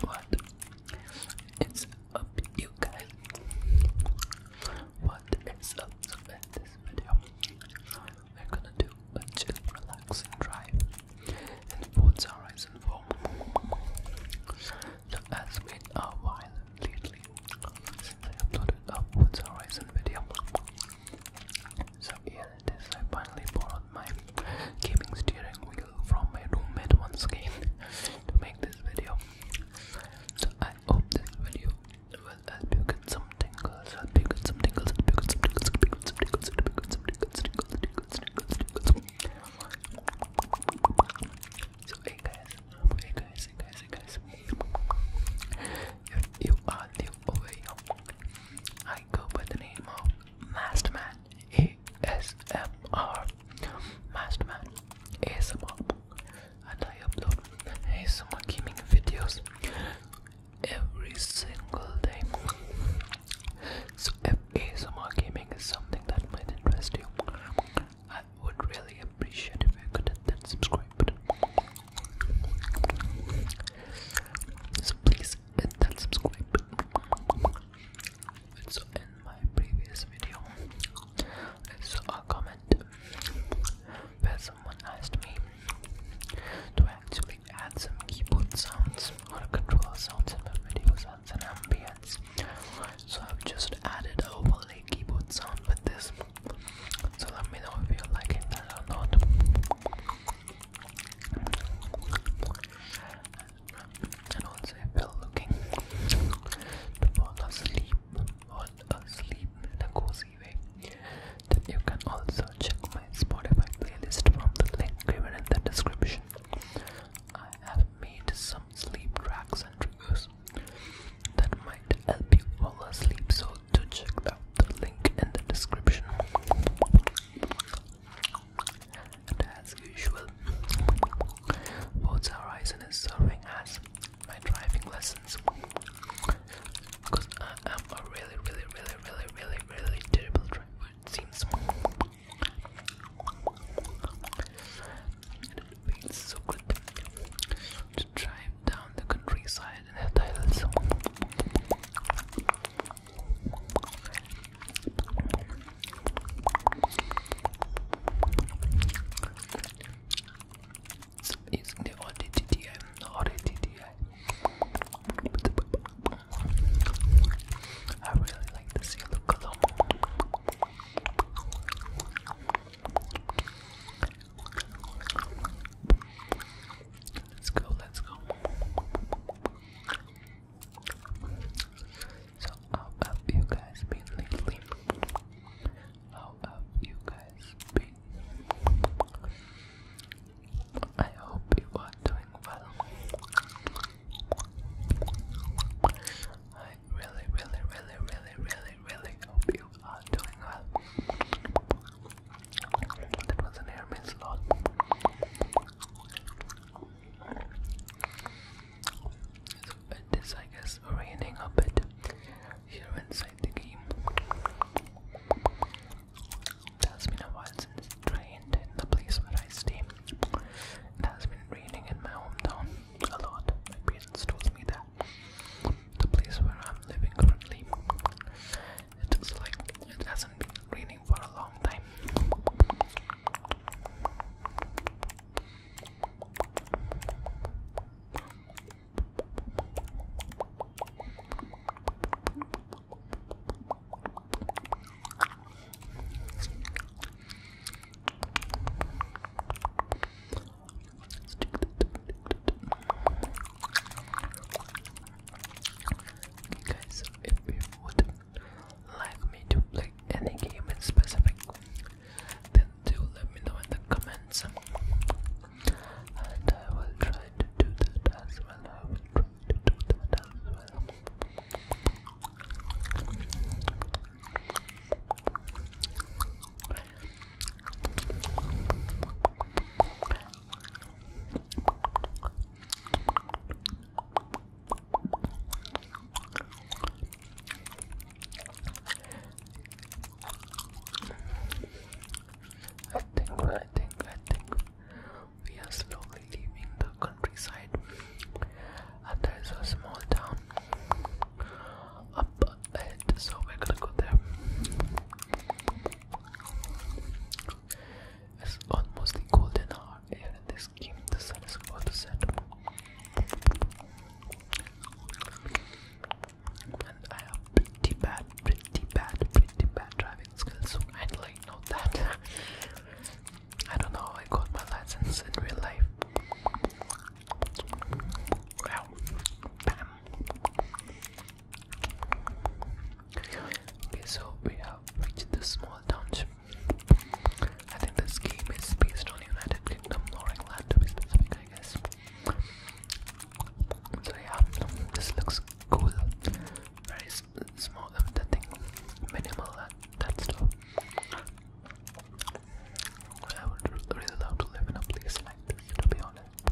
What? It's up, you guys. What is up? So in this video, we're gonna do a chill, relaxing drive in Forza Horizon 4. as been a while lately since I uploaded a Forza Horizon video, so here it is. I finally bought my gaming steering wheel from my roommate once again to make this video. So I hope this video will help you get some tingles, help get some tingles, help get some tingles, help get some get some So hey guys, hey guys, hey guys, hey you are new over here, I go by the name of Masterman. ASMR Masterman ASMR and I upload ASMR gaming videos every single day. So if ASMR gaming is something that might interest you, I would really appreciate if you could hit that subscribe button. So please hit that subscribe button it's in my previous video it's a comment where someone asked me to actually add some keyboard sounds or controller sounds in my videos and ambience so I've just added a overlay keyboard sound with this so let me know if you're liking or not and also well looking to fall er asleep, fall er asleep in a cozy way. you can also check my Spotify playlist from the link given in the description. I have made some sleep tracks and triggers that might help you fall asleep, so to check out the link in the description as usual, Forza Horizon is serving as my driving lessons because I am a really, really, really, really, really, really terrible driver. It seems. so good to drive down the countryside and the hills. It's the ODTTI, eh? ODTTI. Eh? I really like the seal color. Let's go, let's go. So how have you guys been lately? How have you guys been? I hope you are doing well. I really, really, really, really, really, really hope you are doing well. That was an air lot it is I guess raining a bit here inside the game. It has been a while since it rained in the place where I stay. It has been raining in my hometown a lot. My parents told me that. The place where I'm living currently. It is like it hasn't been raining happening for Okay guys, so if we would like me to play any game in specific, then do let me know in the comments, and I will try to do that as well. I will try to do that as well. I think, I think, I think we are slowly leaving the countryside, and there is a small town up ahead, so we're gonna go there. It's almost golden hour here in this the sun is about to set. And I have pretty bad, pretty bad, pretty bad driving skills. And like, know that. I don't know how I got my license in real life. Wow. Bam. Okay, so we have reached the small township I think this game is based on the United Kingdom or England to be specific, I guess. So yeah, this looks cool. Very small, um, the thing minimal and uh, that stuff. I would really love to live in a place like this, to be honest.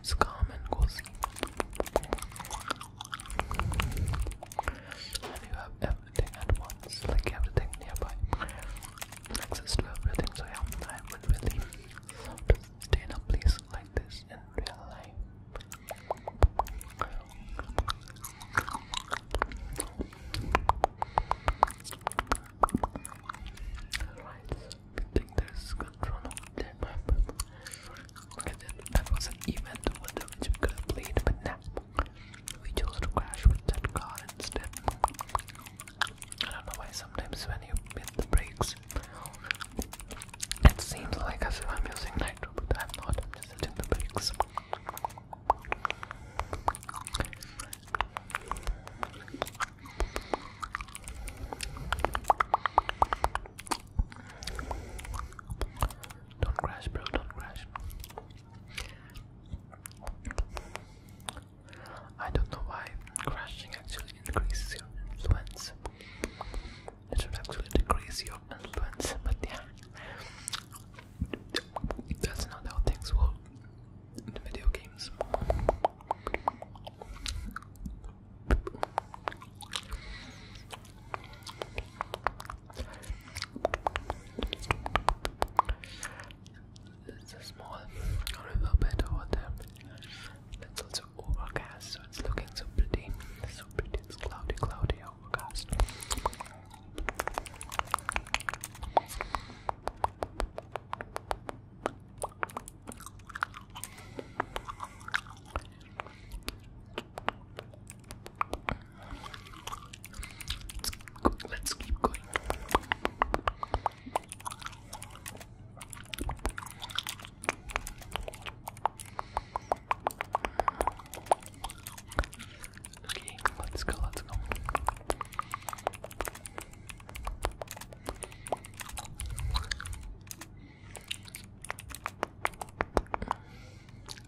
It's calm and cozy. And you have everything at once, like everything nearby. Access to everything, so yeah, I would really stay in a place like this in real life. Alright, I think there's control of the map. was an event wonder which we could have played, but now we chose to crash with that car instead. I don't know why sometimes when you hit the brakes, it seems like as if I'm using nitro, but I'm not, I'm just hitting the brakes. Don't crash, bro, don't crash. I don't know why crashing actually increases your influence. It should actually decrease your influence, but yeah, that's not how things video games. It's a small riverbed bed over there. It's also overcast, so it's looking super pretty. super so pretty, it's cloudy, cloudy, overcast. Let's, go, let's keep going. Okay, let's go, let's go.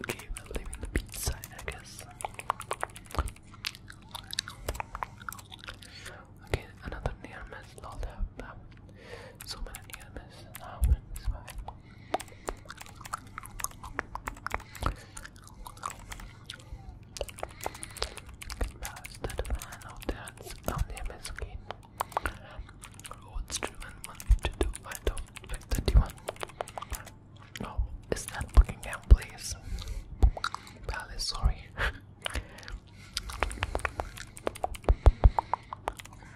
Okay, we're leaving the beach I guess. Okay, another near miss. Lord have so many near misses now, Bastard fan of dance on the MS skin. Roads driven 152 item 531. No, oh, is that Buckingham Place? Palace, sorry.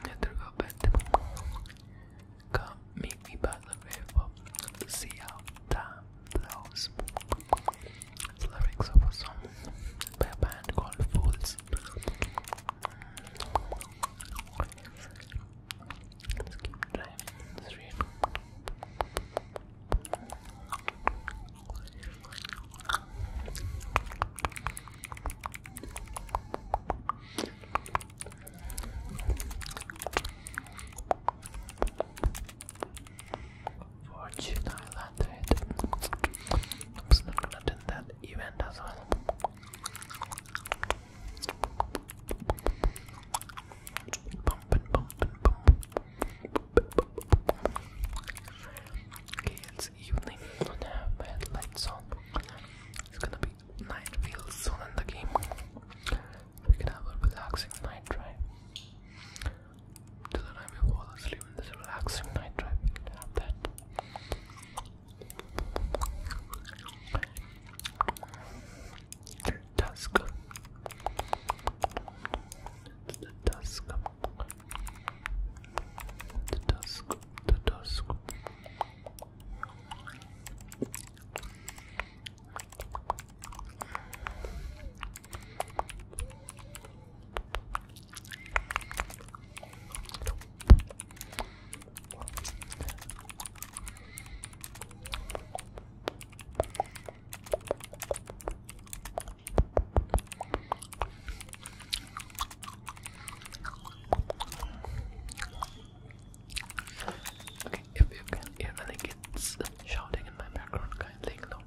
Neither go bed. Come meet me by the river. See how time blows. It's lyrics of a song by a band called Fools. Fortune Island. I'm just not gonna do that event as well. Okay, it's evening. I have my headlights on. It's gonna be night real soon in the game. We can have a relaxing night drive so I may fall asleep in this relaxing night drive. have that. The dusk. the dusk. The dusk. The dusk. Okay, if you can hear any kids shouting in my background, kindly ignore.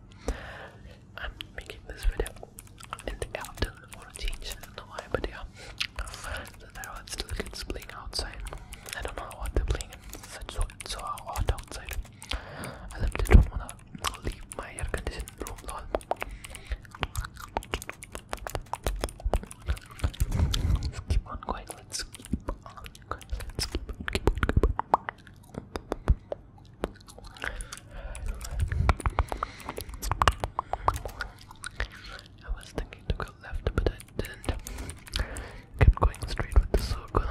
I'm making this video in the afternoon for a change. I do but yeah. there are still kids playing outside. I don't know what they're playing. It's so so hot outside. I literally don't wanna leave my air conditioned room lol. Let's keep on going. Let's keep on going. Let's keep on, keep I was thinking to go left, but I didn't. Kept going straight with the circle.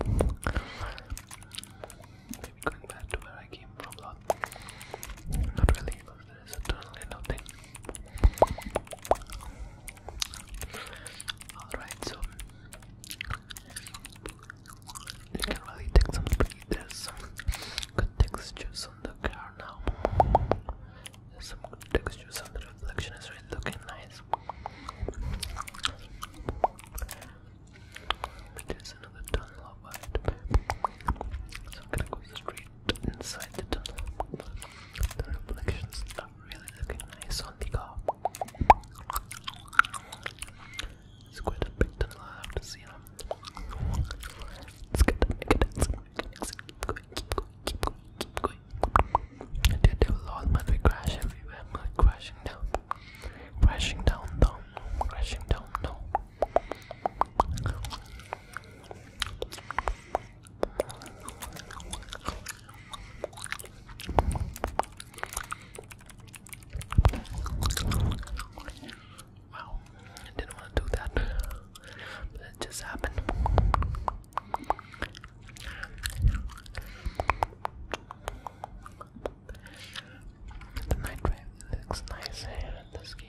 Maybe going back to where I came from, Not really, because there is eternally nothing. Alright, so you can really take some pretty good textures on the car now. some good textures on the reflection is really looking nice. There's another tunnel over it. So I'm gonna go straight inside the tunnel. The reflections really looking nice on the car. It's quite a big tunnel I have to see them. It's good, good, it's good, it's good. Keep going, keep going, keep going, keep going. I did do a lot, man. everywhere. I'm down, crashing down, down, crashing down, down. Wow, I didn't want to do that, but it just happened. The night rain looks nice here eh, in this game.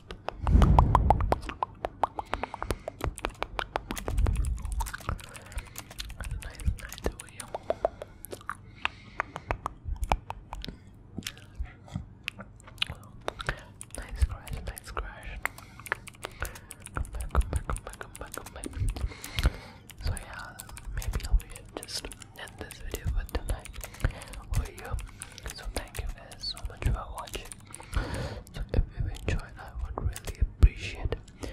And nice night to you. Nice crash, nice crash. Come back, come back, come back, come back, come back. So yeah, maybe I'll just end this video for tonight. Or you so thank you guys so much for watching. So if you enjoyed, I would really appreciate if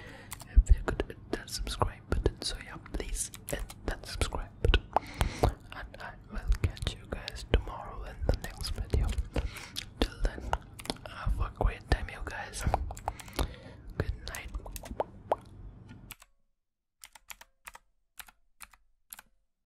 you could hit that subscribe button. So yeah, please hit that subscribe button. And I will catch you guys tomorrow in the next video. Till then, have a great time, you guys. Good night.